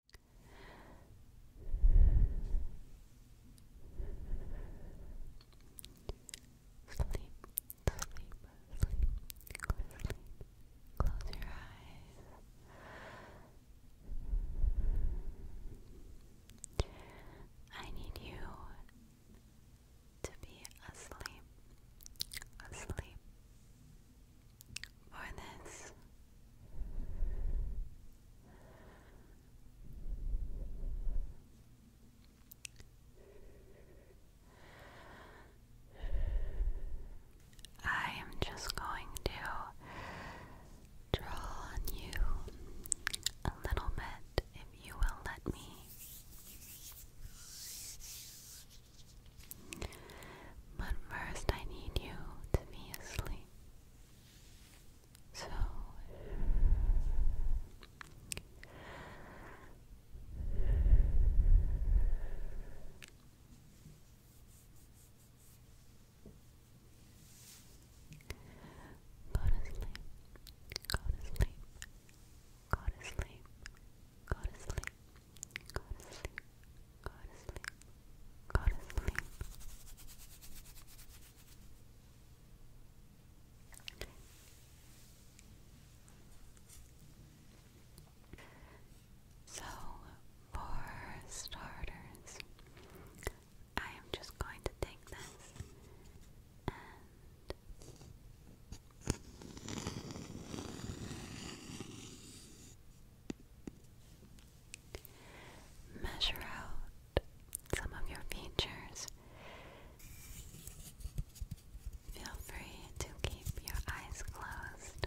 Sleep, sleep, sleep, Close your eyes. I need you to be asleep, asleep, for this. I am just going to draw on you a little bit if you will let me. But first, I need you to be asleep. So Go Go to sleep. Go to sleep. Go to sleep. Go to sleep. Go to sleep. God is sleep. Go to sleep. So, for starters, I am just going to take this Measure out some of your features. Feel free to keep your eyes closed.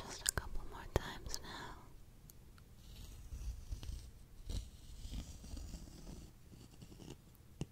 Just a couple more times now.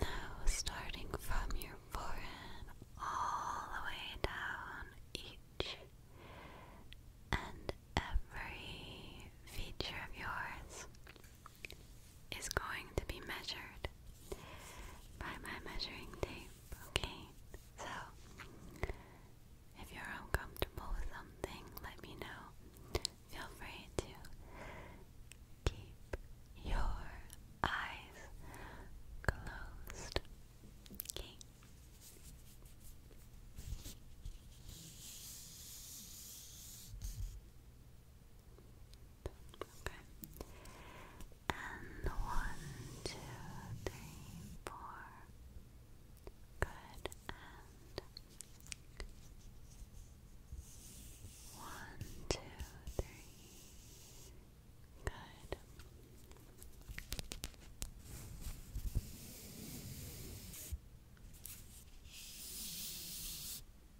Now, starting from your forehead all the way down each and every feature of yours is going to be measured by my measuring tape, okay? So, if you're uncomfortable with something, let me know. Feel free to keep your eyes closed, okay? Okay. And one, two, three, four. Good. And one, two, three. Good.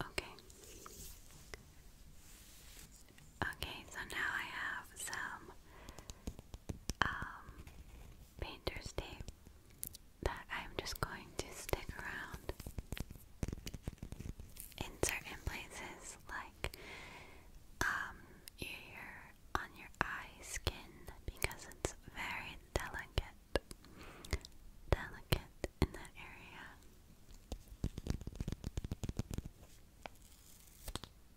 Okay. Okay, so now I have some um, painter's tape that I'm just going to stick around in certain places like um your on your eye skin because it's very delicate delicate in that area.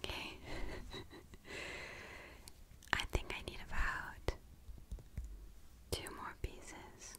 Okay. I think I need about two more pieces.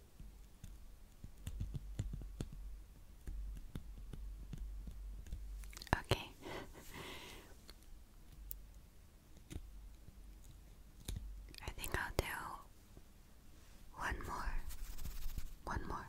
Okay. I think I'll do one more. One more.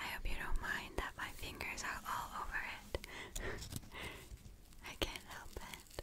I hope you don't mind that my fingers are all over it. I can't help it.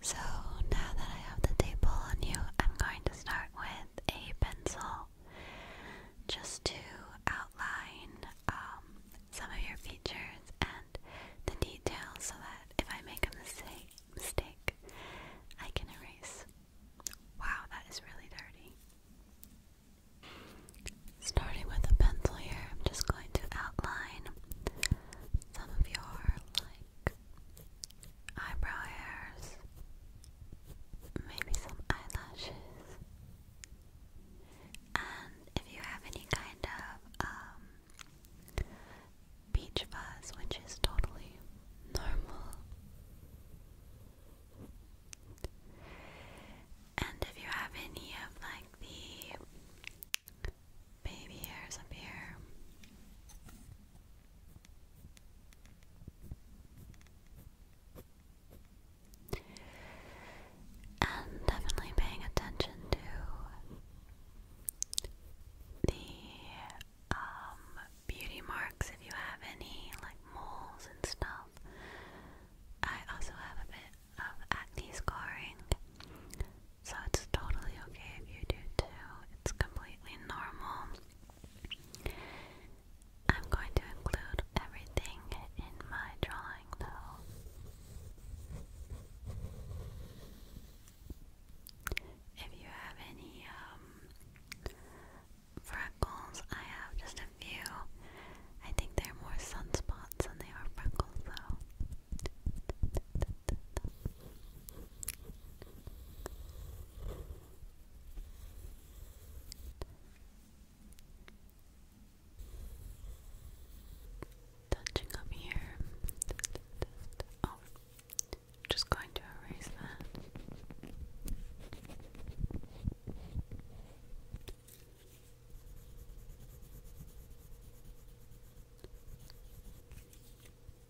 so now that I have the table on you, I'm going to start with a pencil just to outline um, some of your features and the details so that if I make a mistake, mistake I can erase. Wow, that is really dirty. Starting with a pencil here, I'm just going to outline some of your like eyebrow hairs, maybe some eyelashes. And if you have any kind of um, beach fuzz, which is totally normal. And if you have any of like the baby hairs up here. And definitely paying attention to the um, beauty marks if you have any, like moles and stuff. I also have a bit of acne scarring, so it's totally okay if you do too. It's completely normal. I'm going to include everything in my drawing though. If you have any um, freckles, I have just a few. I think they're more sunspots than they are freckles though. Touching up here. Oh, just going to erase that.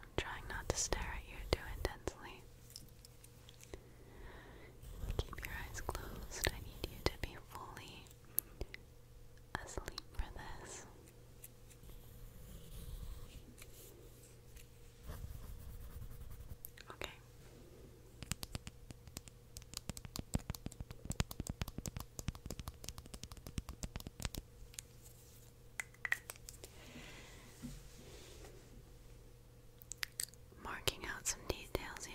I'm trying not to stare at you too intensely. Keep your eyes closed. I need you to be fully asleep for this. Okay. Marking out some details here.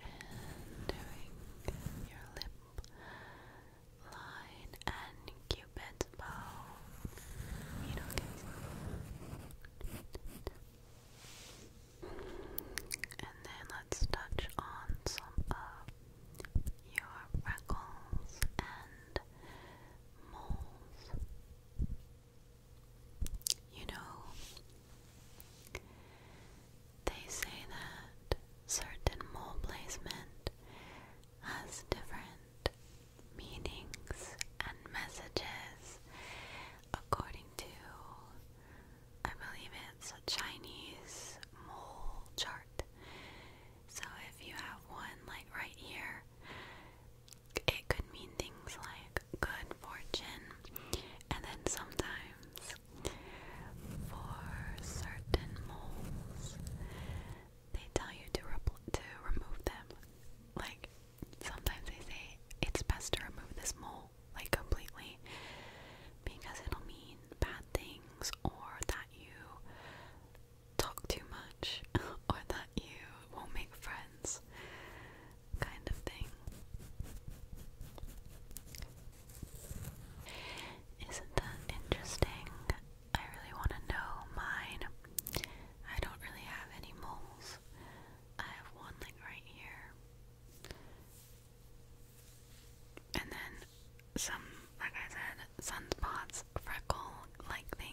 and doing your lip line and cupid's bow. and then let's touch on some of your freckles and moles. You know, they say that certain mole placement has different meanings and messages according to, I believe it's a Chinese mole chart. So if you have one like right here, it could mean things like good fortune, and then sometimes for certain moles, they tell you to to remove them. Like sometimes they say it's best to remove this mole like completely because it'll mean bad things or that you talk too much or that you won't make friends kind of thing. Isn't that interesting? I really want to know mine. I don't really have any moles. I have one right here. And then some, like I said, sunspots, freckle like things.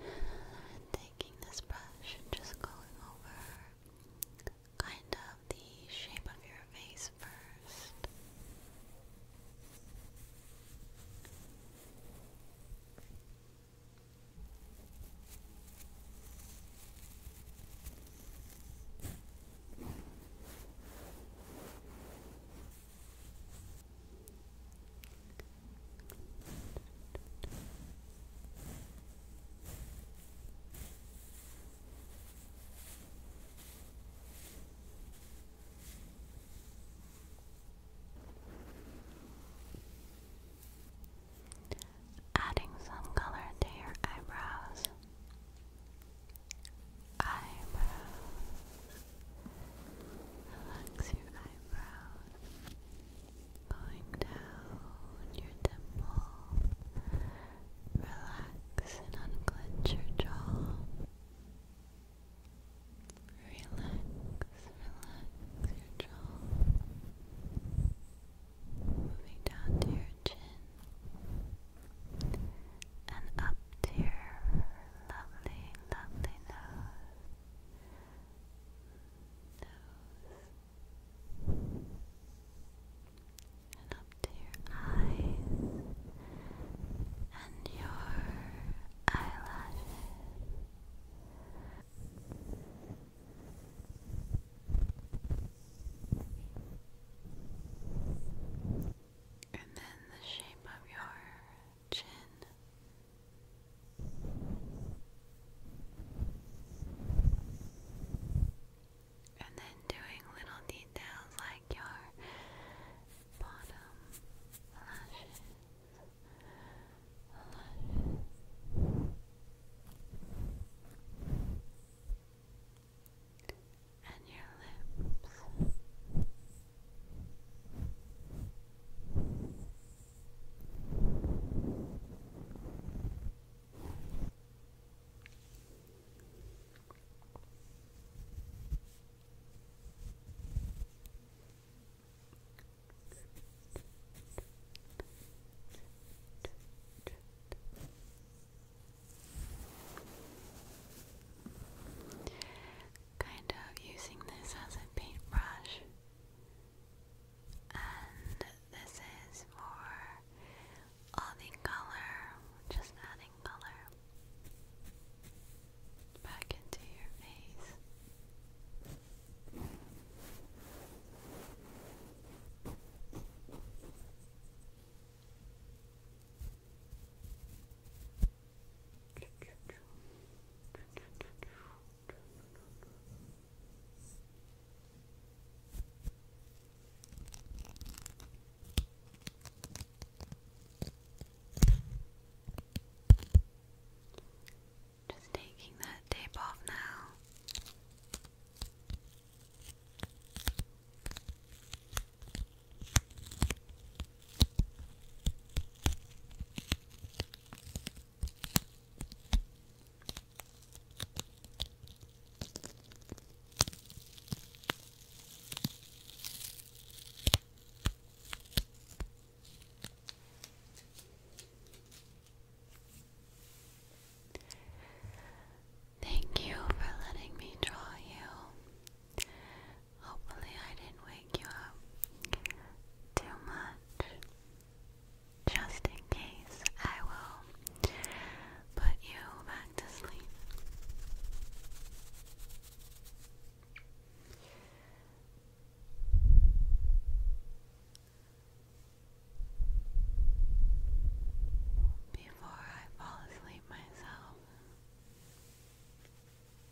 And taking this brush and just going over kind of the shape of your face first. Adding some color to your eyebrows eyebrows. Relax your eyebrows. Going down your temple. Relax and unclench your jaw. Relax, relax your jaw. Moving down to your chin and up to your lovely, lovely nose, and up to your eyes and your eyelashes and then the shape of your chin. And then doing little details like your bottom lashes and your lips kind of using this as a paintbrush. And this is for all color, just adding color back into your face. Just taking that tape off now. Thank you for letting me draw you. Hopefully, I didn't wake you up too much. Just in case, I will put you back to sleep. Before I fall asleep myself,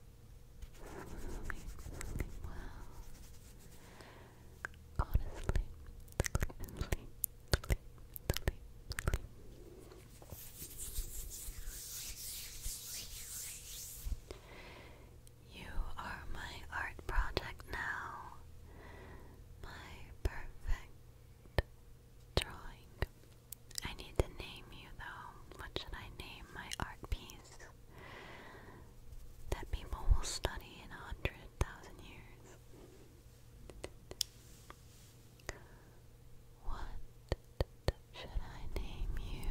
sleep, sleep You are my art project now, my perfect drawing. I need to name you though. What should I name my art piece that people will study in a hundred thousand years? What should I name you?